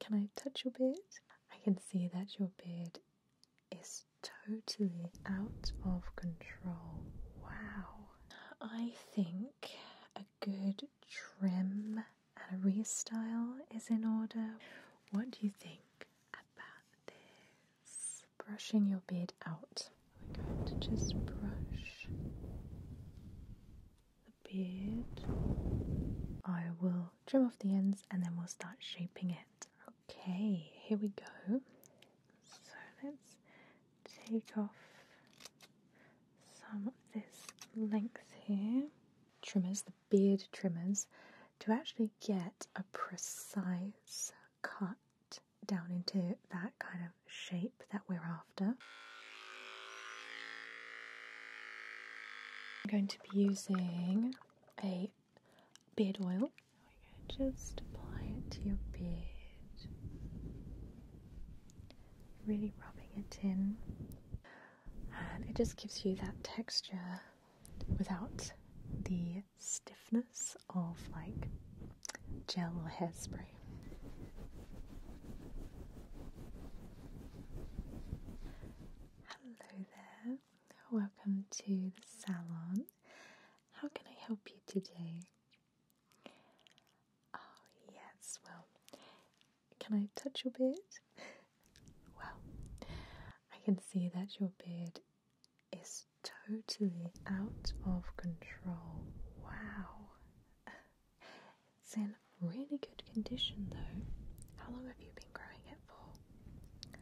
Can I touch your beard? I can see that your beard is totally out of control. Wow. I think a good trim and a restyle is in order. What do you think about this? Brushing your beard out. We're going to just brush the beard. I will trim off the ends and then we'll start shaping it. Okay, here we go. So let's take off some of this length here. Trimmers, the beard trimmers, to actually get a precise cut down into that kind of shape that we're after. I'm going to be using a beard oil. Just apply it to your beard. Really rubbing it in. And it just gives you that texture without the stiffness of like gel or hairspray. Hello there, welcome to the salon. How can I help you today? Oh, yes, well, can I touch your beard? Well, I can see that your beard is totally out of control. Wow. It's in really good condition though. How long have you been growing it for?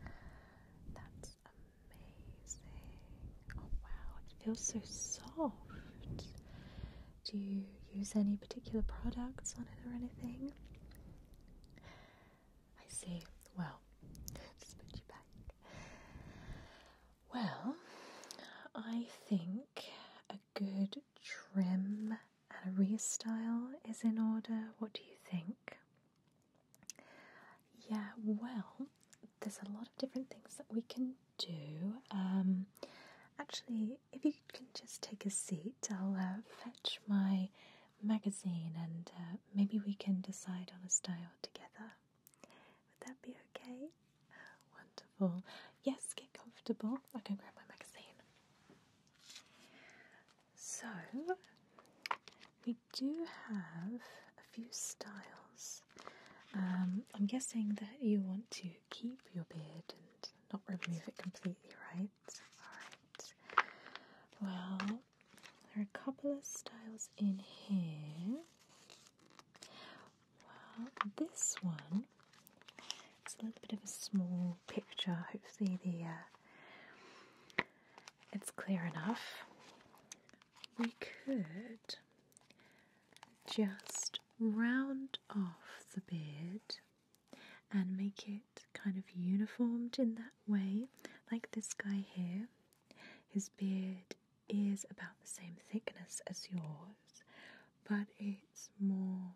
That's amazing. Oh wow, it feels so soft. Do you use any particular products on it or anything? I see. Well, just put you back. Well, I think a good trim a restyle is in order. What do you think? Yeah, well, there's a lot of different things that we can do. Um, actually, if you can just take a seat, I'll uh, fetch my magazine and uh, maybe we can decide on a style together. Would that be okay? Wonderful. Yes, get comfortable. I can grab my magazine. So, we do have a few styles. Um, I'm guessing that you want to keep your beard and not remove it completely, right? Alright. Well, there are a couple of styles in here. Well, this one it's a little bit of a small picture. Hopefully the uh, it's clear enough. We could just round off the beard and make it kind of uniformed in that way, like this guy here. His beard is about the same thickness as yours, but it's more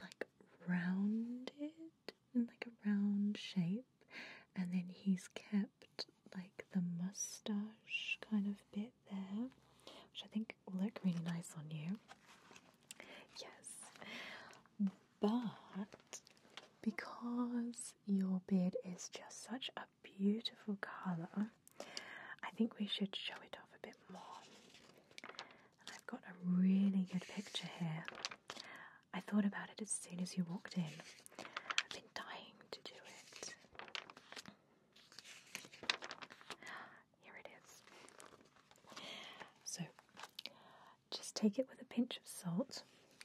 like rounded and like a round shape, and then he's kept like the mustache kind of bit there, which I think will look really nice on you. Yes, but because your beard is just such a beautiful colour, I think we should show it off a bit more. I've got a really good picture here. I thought about it as soon as you walked in. I've been dying to do it. Here it is. So just take it with a pinch of salt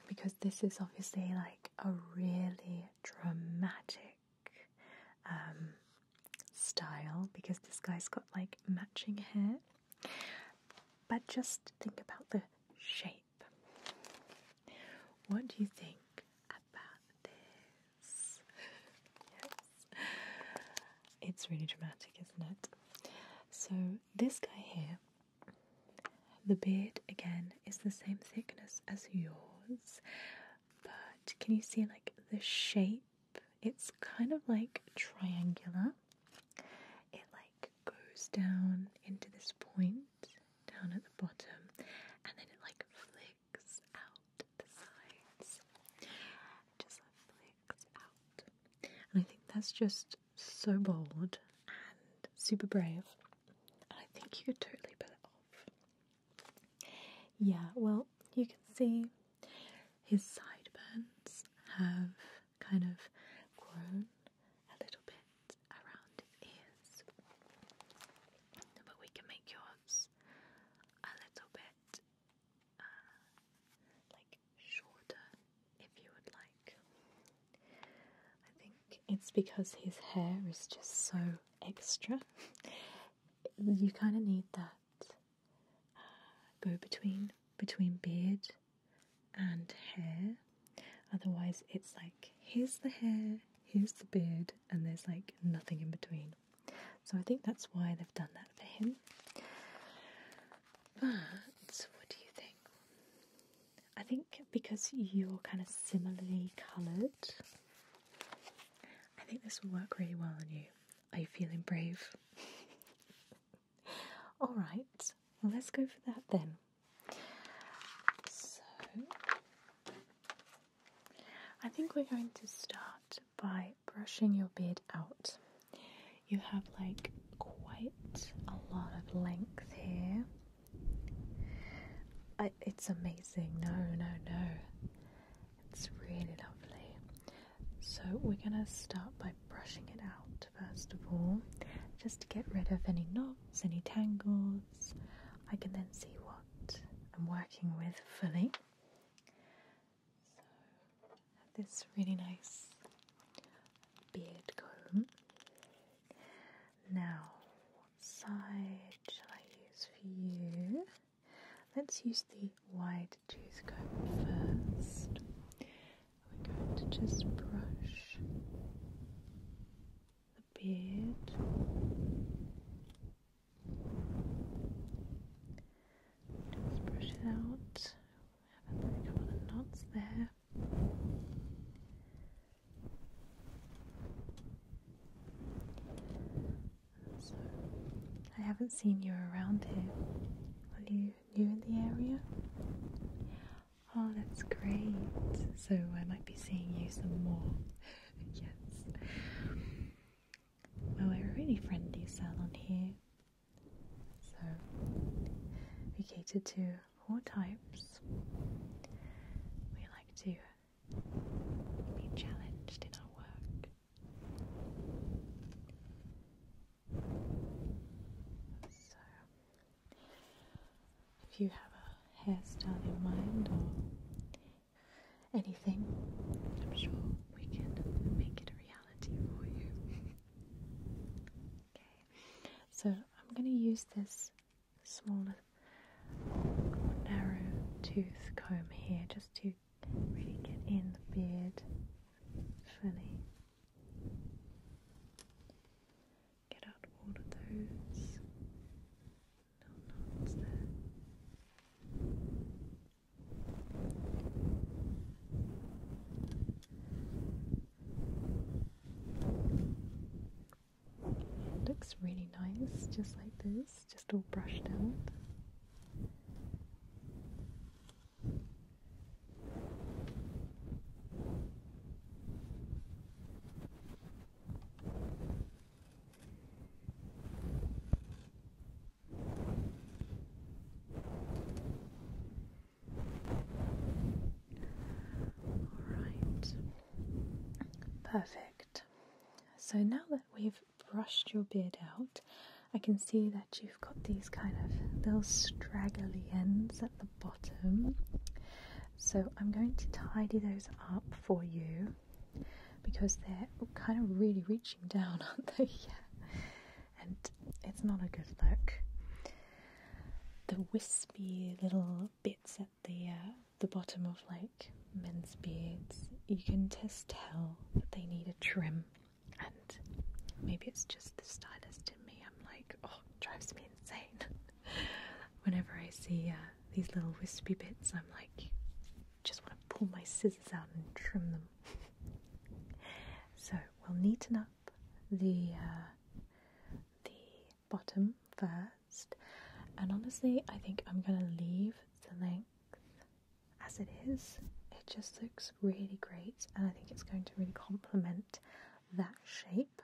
because this is obviously like a really dramatic um, style because this guy's got like matching hair. But just think about the shape. What do you think about this? It's really dramatic, isn't it? So, this guy here, the beard again is the same thickness as yours, but can you see like the shape? It's kind of like triangular. It like goes down into this point down at the bottom and then it like flicks out the sides. Just flicks out. I think that's just so bold and super brave. And I think you could totally pull it off. Yeah, well, you can see his sideburns have kind of grown a little bit around his ears. But we can make yours a little bit uh, like shorter if you would like. I think it's because his hair is just so extra. you kind of need that uh, go between between beard and hair. Otherwise, it's like here's the hair, here's the beard, and there's like nothing in between. So I think that's why they've done that for him. But what do you think? I think because you're kind of similarly coloured, I think this will work really well on you. Are you feeling brave? All right, let's go for that then. So, I think we're going to start by brushing your beard out. You have like quite a lot of length here. it's amazing. No, no, no. It's really lovely. So we're going to start by brushing it out first of all, just to get rid of any knots, any tangles. I can then see what I'm working with fully. So this really nice beard comb. Now, what side shall I use for you? Let's use the wide tooth comb first. We're going to just brush the beard just brush it out we have a couple of knots there so I haven't seen you around here. Are you new in the area? Oh, that's great. So I might be seeing you some more. yes. Well, we're a really friendly salon here. So we cater to all types. We like to be challenged in our work. So, if you have a hairstyle in mind or anything, I'm sure we can make it a reality for you. okay, so I'm going to use this smaller narrow tooth comb here just to really get in the beard fully. Get out all of those little knots there. looks really nice, just like this is, just all brushed out. All right, perfect. So now that we've brushed your beard out, I can see that you've got these kind of little straggly ends at the bottom. So I'm going to tidy those up for you because they're kind of really reaching down, aren't they? And it's not a good look. The wispy little bits at the uh, the bottom of like men's beards, you can just tell that they need a trim. And maybe it's just the stylist in me. I'm like, oh, drives me insane. Whenever I see uh, these little wispy bits, I'm like, just want to pull my scissors out and trim them. so we'll neaten up the uh, the bottom first. And honestly, I think I'm gonna leave the length as it is. It just looks really great, and I think it's going to really complement that shape.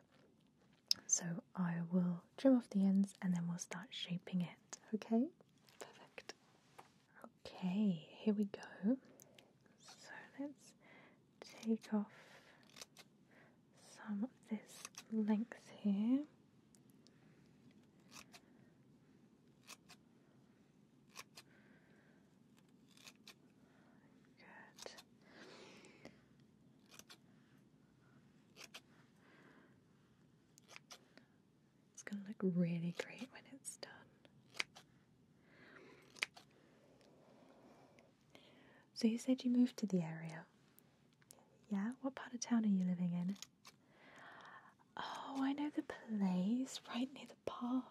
So I will trim off the ends and then we'll start shaping it. Okay? Perfect. Okay, here we go. So let's take off some of this length here. Good. It's going to look really great when it's done. So, you said you moved to the area. Yeah, what part of town are you living in? Oh, I know the place right near the park.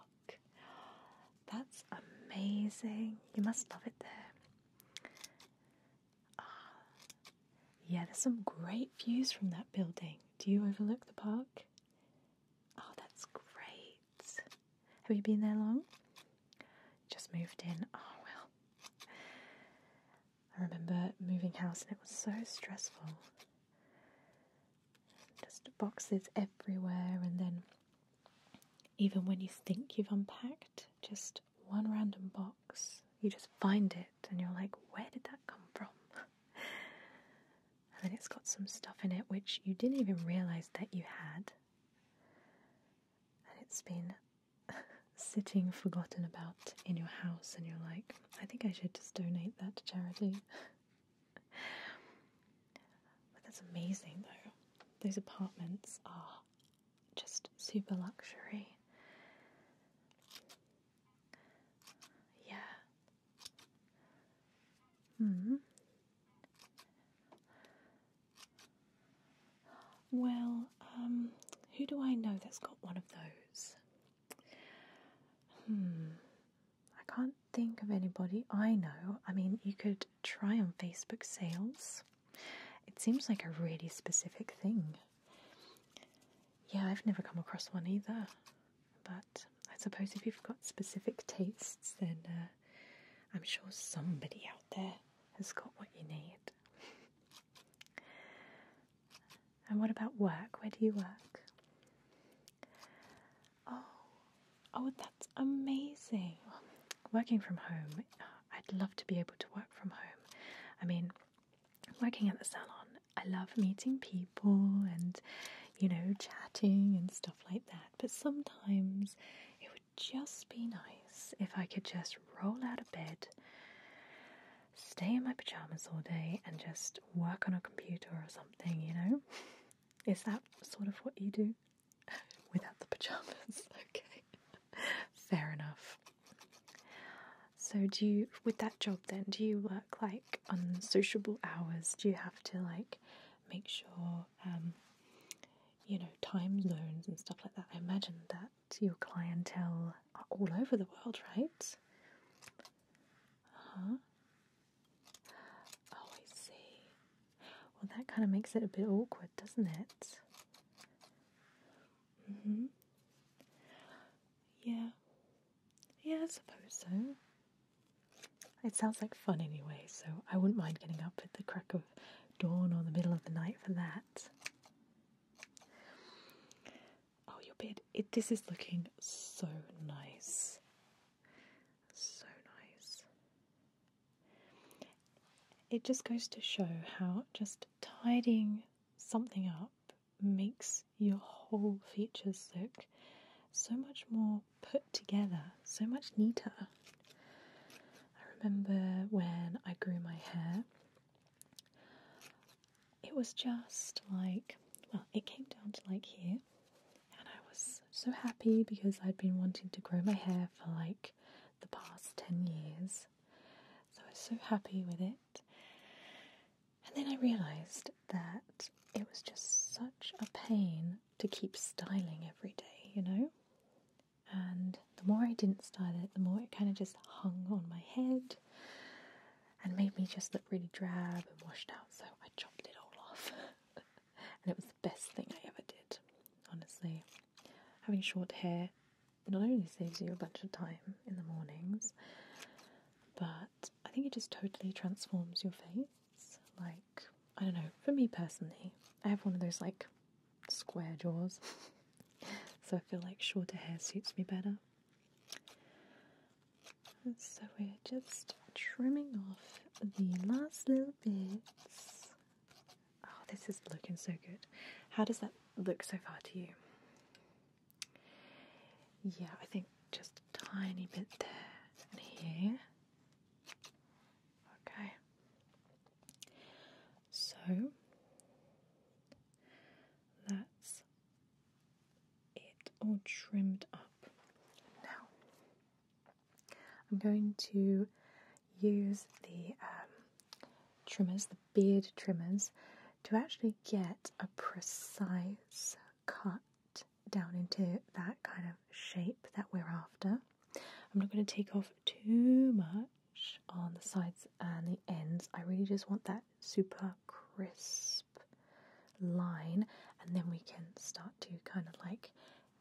That's amazing. You must love it there. Ah, yeah, there's some great views from that building. Do you overlook the park? Oh, that's great. Have you been there long? Just moved in. Oh, well. I remember moving house and it was so stressful. Just boxes everywhere, and then even when you think you've unpacked, just one random box, you just find it and you're like, where did that come from? and then it's got some stuff in it which you didn't even realize that you had. And it's been sitting forgotten about in your house and you're like, I think I should just donate that to charity. but that's amazing though. Those apartments are just super luxury. Yeah. Hmm. Well, um, who do I know that's got one of those? Hmm, I can't think of anybody I know. I mean, you could try on Facebook sales. It seems like a really specific thing. Yeah, I've never come across one either. But I suppose if you've got specific tastes, then uh, I'm sure somebody out there has got what you need. And what about work? Where do you work? Oh, oh, that's amazing. Working from home, I'd love to be able to work from home. I mean, working at the salon, I love meeting people and, you know, chatting and stuff like that. But sometimes it would just be nice if I could just roll out bed, stay in my pajamas all day, and just work on a computer or something, you know? Is that sort of what you do? Without the pajamas, okay. Fair enough. So, do you, with that job then, do you work like on sociable hours? Do you have to like make sure, um, you know, time zones and stuff like that? I imagine that your clientele are all over the world, right? huh. Oh, I see. Well, that kind of makes it a bit awkward, doesn't it? hmm. Yeah. Yeah, I suppose so. It sounds like fun anyway, so I wouldn't mind getting up at the crack of dawn or the middle of the night for that. Oh, your bed. this is looking so nice. So nice. It just goes to show how just tidying something up makes your whole features look so much more put together, so much neater. I remember when I grew my hair it was just like, well, it came down to like here, and I was so happy because I'd been wanting to grow my hair for like the past 10 years. So I was so happy with it. And then I realised that it was just such a pain to keep styling every day, you know? And the more I didn't style it, the more it kind of just hung on my head and made me just look really drab and washed out. So I chopped it all off. and it was the best thing I ever did, honestly. Having short hair not only saves you a bunch of time in the mornings, but I think it just totally transforms your face. Like, I don't know, for me personally, I have one of those like square jaws. so I feel like shorter hair suits me better. So we're just trimming off the last little bits. Oh, this is looking so good. How does that look so far to you? Yeah, I think just a tiny bit there and here. Okay. So that's it all trimmed up. Now I'm going to use the um, trimmers, the beard trimmers, to actually get a precise cut down into that kind of shape that we're after. I'm not going to take off too much on the sides and the ends. I really just want that super crisp line and then we can start to kind of like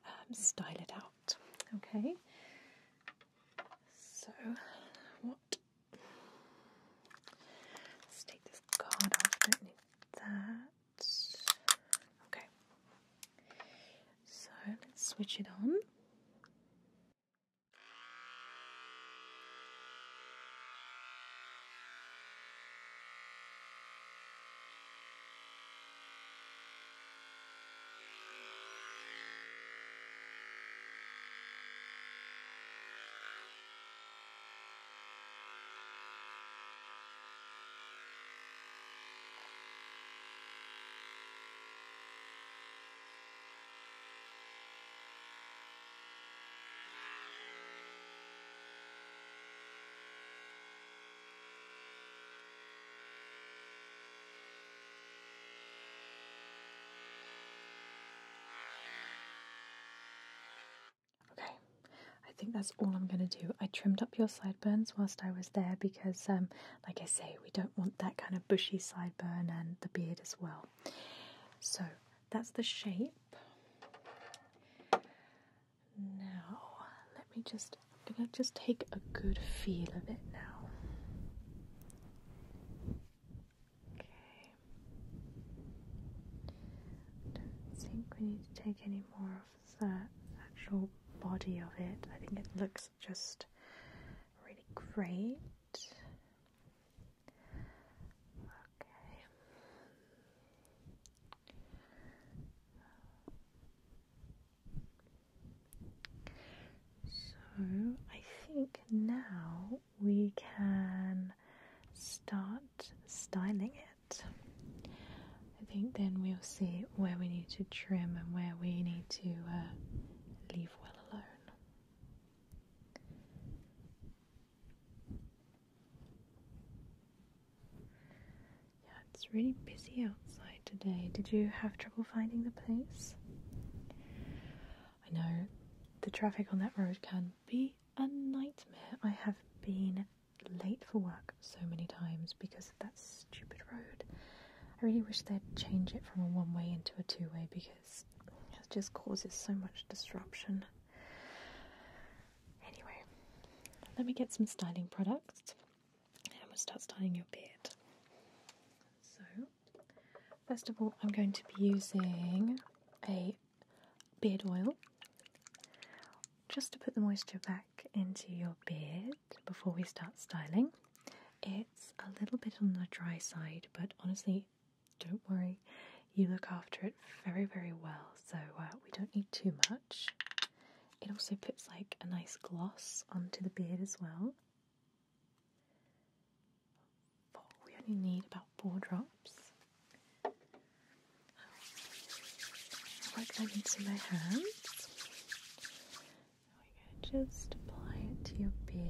um, style it out. Okay, so what? Let's take this card off, don't need that. Okay, so let's switch it on. Okay, I think that's all I'm going to do. I trimmed up your sideburns whilst I was there because um, like I say, we don't want that kind of bushy sideburn and the beard as well. So that's the shape. Now, let me just gonna just take a good feel of it now. Okay. Don't think we need to take any more of the actual body of it. I think it looks just really great. Okay. So I think now we can start styling it. I think then we'll see where we need to trim and where we need to uh, leave well alone. Yeah, it's really busy outside today. Did you have trouble finding the place? I know the traffic on that road can be a nightmare. I have been late for work so many times because of that stupid road. I really wish they'd change it from a one way into a two way because it just causes so much disruption. Anyway, let me get some styling products and we'll start styling your beard. So, first of all, I'm going to be using a beard oil just to put the moisture back into your beard before we start styling. It's a little bit on the dry side, but honestly, don't worry, you look after it very, very well, so uh, we don't need too much. It also puts like a nice gloss onto the beard as well. We only need about four drops. Work them into my hands. So we can just apply it to your beard.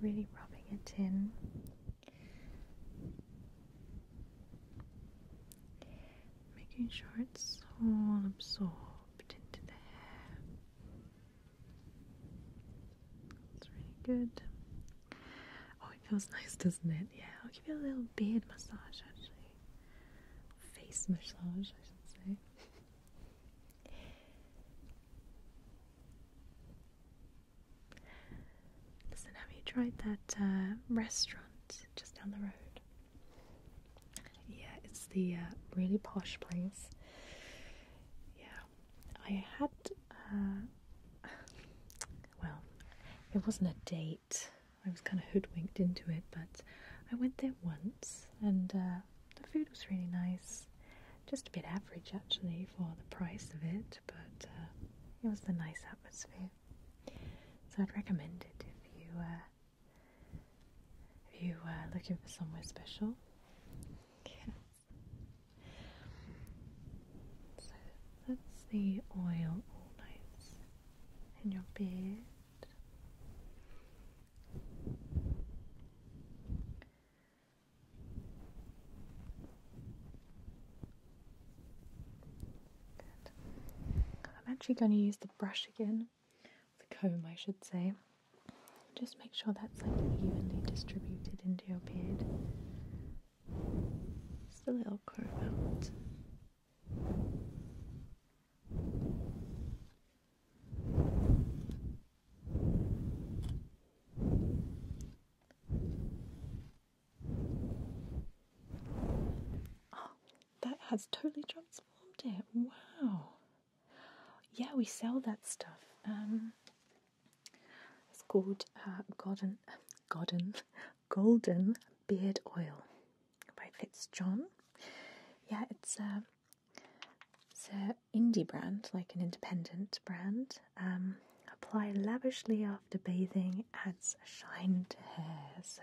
Really rubbing it in. Making sure it's all absorbed into the hair. It's really good. Oh, it feels nice, doesn't it? Yeah, I'll give you a little beard massage actually. Face massage, I should say. Listen, have you tried that uh, restaurant just down the road? Yeah, it's the uh, really posh place. Yeah, I had. Uh, well, it wasn't a date. I was kind of hoodwinked into it, but I went there once and uh, the food was really nice. Just a bit average actually for the price of it, but uh, it was the nice atmosphere. So I'd recommend it if you uh, if you are looking for somewhere special. Yes. So that's the oil all nights. In your beard. Good. I'm actually going to use the brush again, the comb, I should say. Just make sure that's like evenly distributed into your beard. Just a little curve out. Oh, that has totally transformed it. Wow. Yeah, we sell that stuff. Um, it's called uh, Garden, Garden, Golden Beard Oil by Fitzjohn. Yeah, it's uh, a it's an indie brand, like an independent brand. Um, apply lavishly after bathing, adds shine to hair. So,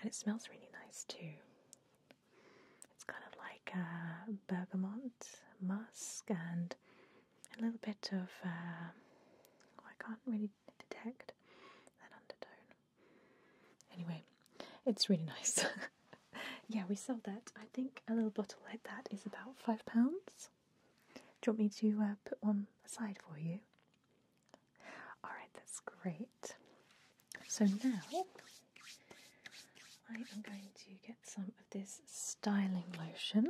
and it smells really nice too. It's kind of like uh, bergamot, musk, and a little bit of. Uh, oh, I can't really detect Anyway, it's really nice. yeah, we sold that. I think a little bottle like that is about £5. Do you want me to uh, put one aside for you? Alright, that's great. So now I am going to get some of this styling lotion.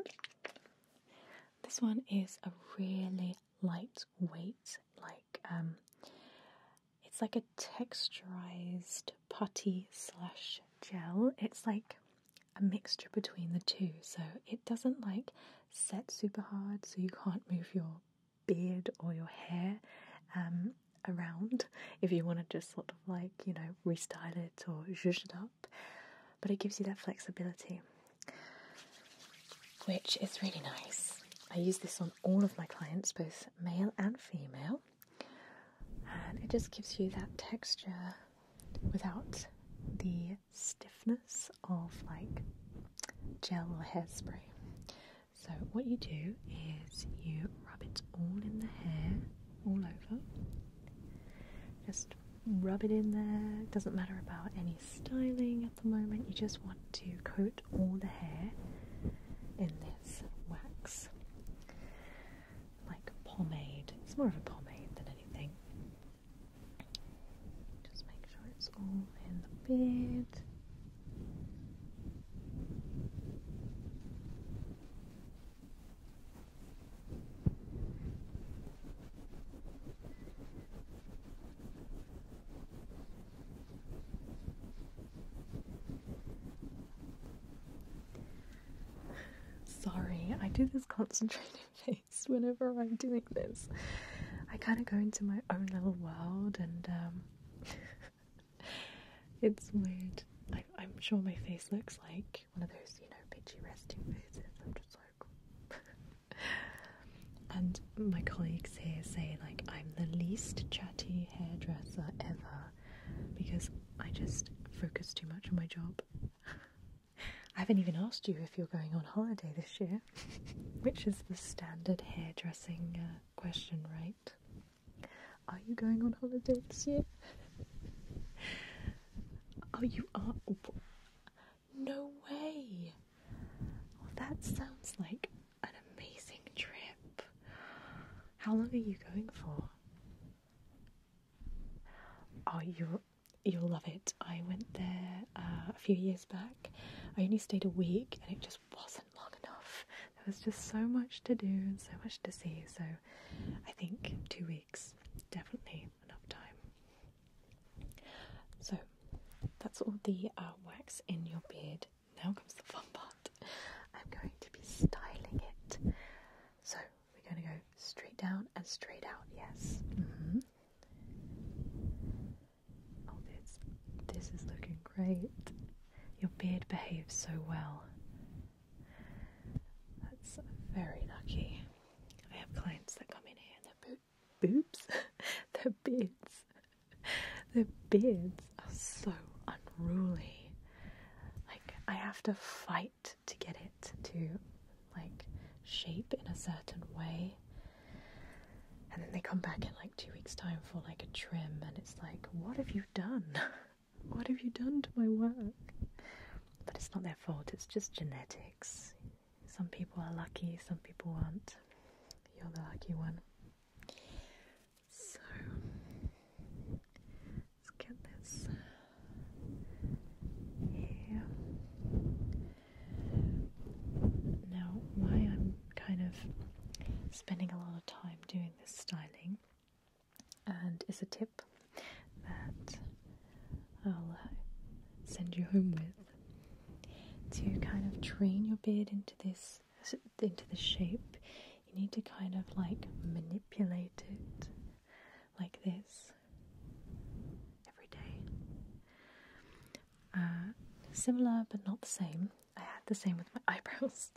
This one is a really lightweight, like um, it's like a texturized putty slash gel. It's like a mixture between the two, so it doesn't like set super hard, so you can't move your beard or your hair um, around if you want to just sort of like you know restyle it or zhuzh it up but it gives you that flexibility, which is really nice. I use this on all of my clients, both male and female, and it just gives you that texture without the stiffness of like gel or hairspray. So, what you do is you rub it all in the hair, all over, just rub it in there. doesn't matter about any styling at the moment. You just want to coat all the hair in this wax, like pomade. It's more of a pomade than anything. Just make sure it's all in the bed. Sorry, I do this concentrated face whenever I'm doing this. I kind of go into my own little world, and um, it's weird. I, I'm sure my face looks like one of those, you know, bitchy resting poses. I'm just like. and my colleagues here say, like, I'm the least chatty hairdresser ever because I just focus too much on my job. I haven't even asked you if you're going on holiday this year, which is the standard hairdressing uh, question, right? Are you going on holiday this year? oh, you are. No way! Well, that sounds like an amazing trip. How long are you going for? Oh, you'll you'll love it. I went there uh, a few years back. I only stayed a week, and it just wasn't long enough. There was just so much to do and so much to see. So, I think two weeks definitely enough time. So that's all the uh, wax in your beard. Now comes the fun part. I'm going to be styling it. So we're going to go straight down and straight out. Yes. Mm-hmm. Oh, this this is looking great. Your beard behaves so well. That's very lucky. I have clients that come in here and their bo- boobs, their beards, their beards are so unruly. Like I have to fight to get it to like shape in a certain way. And then they come back in like two weeks' time for like a trim, and it's like, what have you done? what have you done to my work? But it's not their fault, it's just genetic. Some people are lucky, some people aren't. You're the lucky one. So, let's get this here. Now, why I'm kind of spending a lot of time doing this styling, and it's a tip that I'll uh, send you home with to kind of train your beard into this into the shape you need to kind of like manipulate it like this every day uh, similar but not the same I had the same with my eyebrows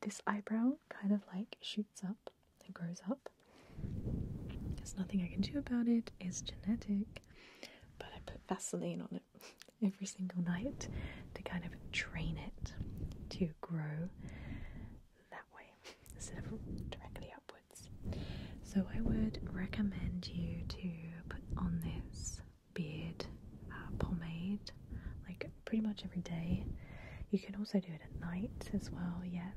this eyebrow kind of like shoots up it grows up. There's nothing I can do about it, it's genetic. But I put Vaseline on it every single night to kind of train it to grow that way instead of directly upwards. So I would recommend you to put on this beard uh, pomade like pretty much every day. You can also do it at night as well, yeah,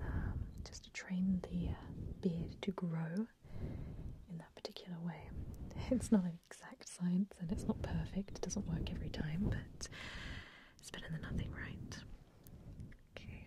um, just to train the uh, beard to grow in that particular way. It's not an exact science and it's not perfect, it doesn't work every time, but it's better than nothing, right? Okay.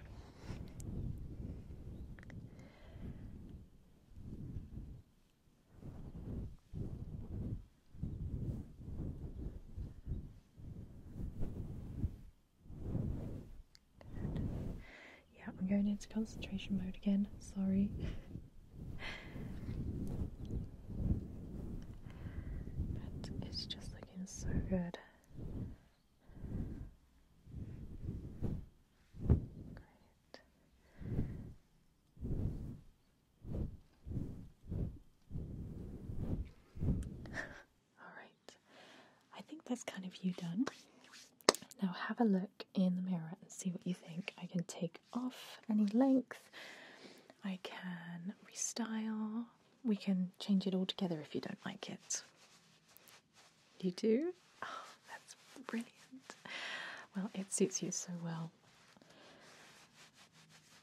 Yeah, I'm going into concentration mode again. Sorry. but it's just looking so good. Alright, I think that's kind of you done. Now have a look in the mirror and see what you think. I can take off any length, I can restyle, we can change it all together if you don't like it. You do? Oh, that's brilliant. Well, it suits you so well.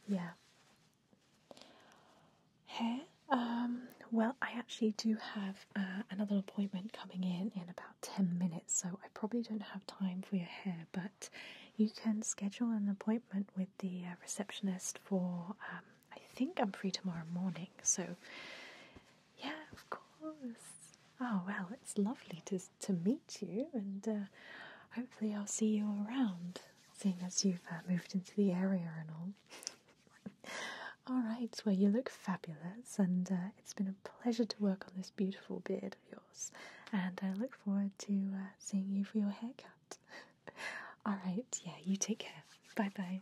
Yeah, Hair? Um, well, I actually do have uh, another appointment coming in in about 10 minutes, so I probably don't have time for your hair, but you can schedule an appointment with the uh, receptionist for, um, I think I'm free tomorrow morning, so yeah, of course. Oh, well, it's lovely to, to meet you, and uh, hopefully, I'll see you around, seeing as you've moved into the area and all. All right, well, you look fabulous, and uh, it's been a pleasure to work on this beautiful beard of yours. And I look forward to uh, seeing you for your haircut. All right, yeah, you take care. Bye bye.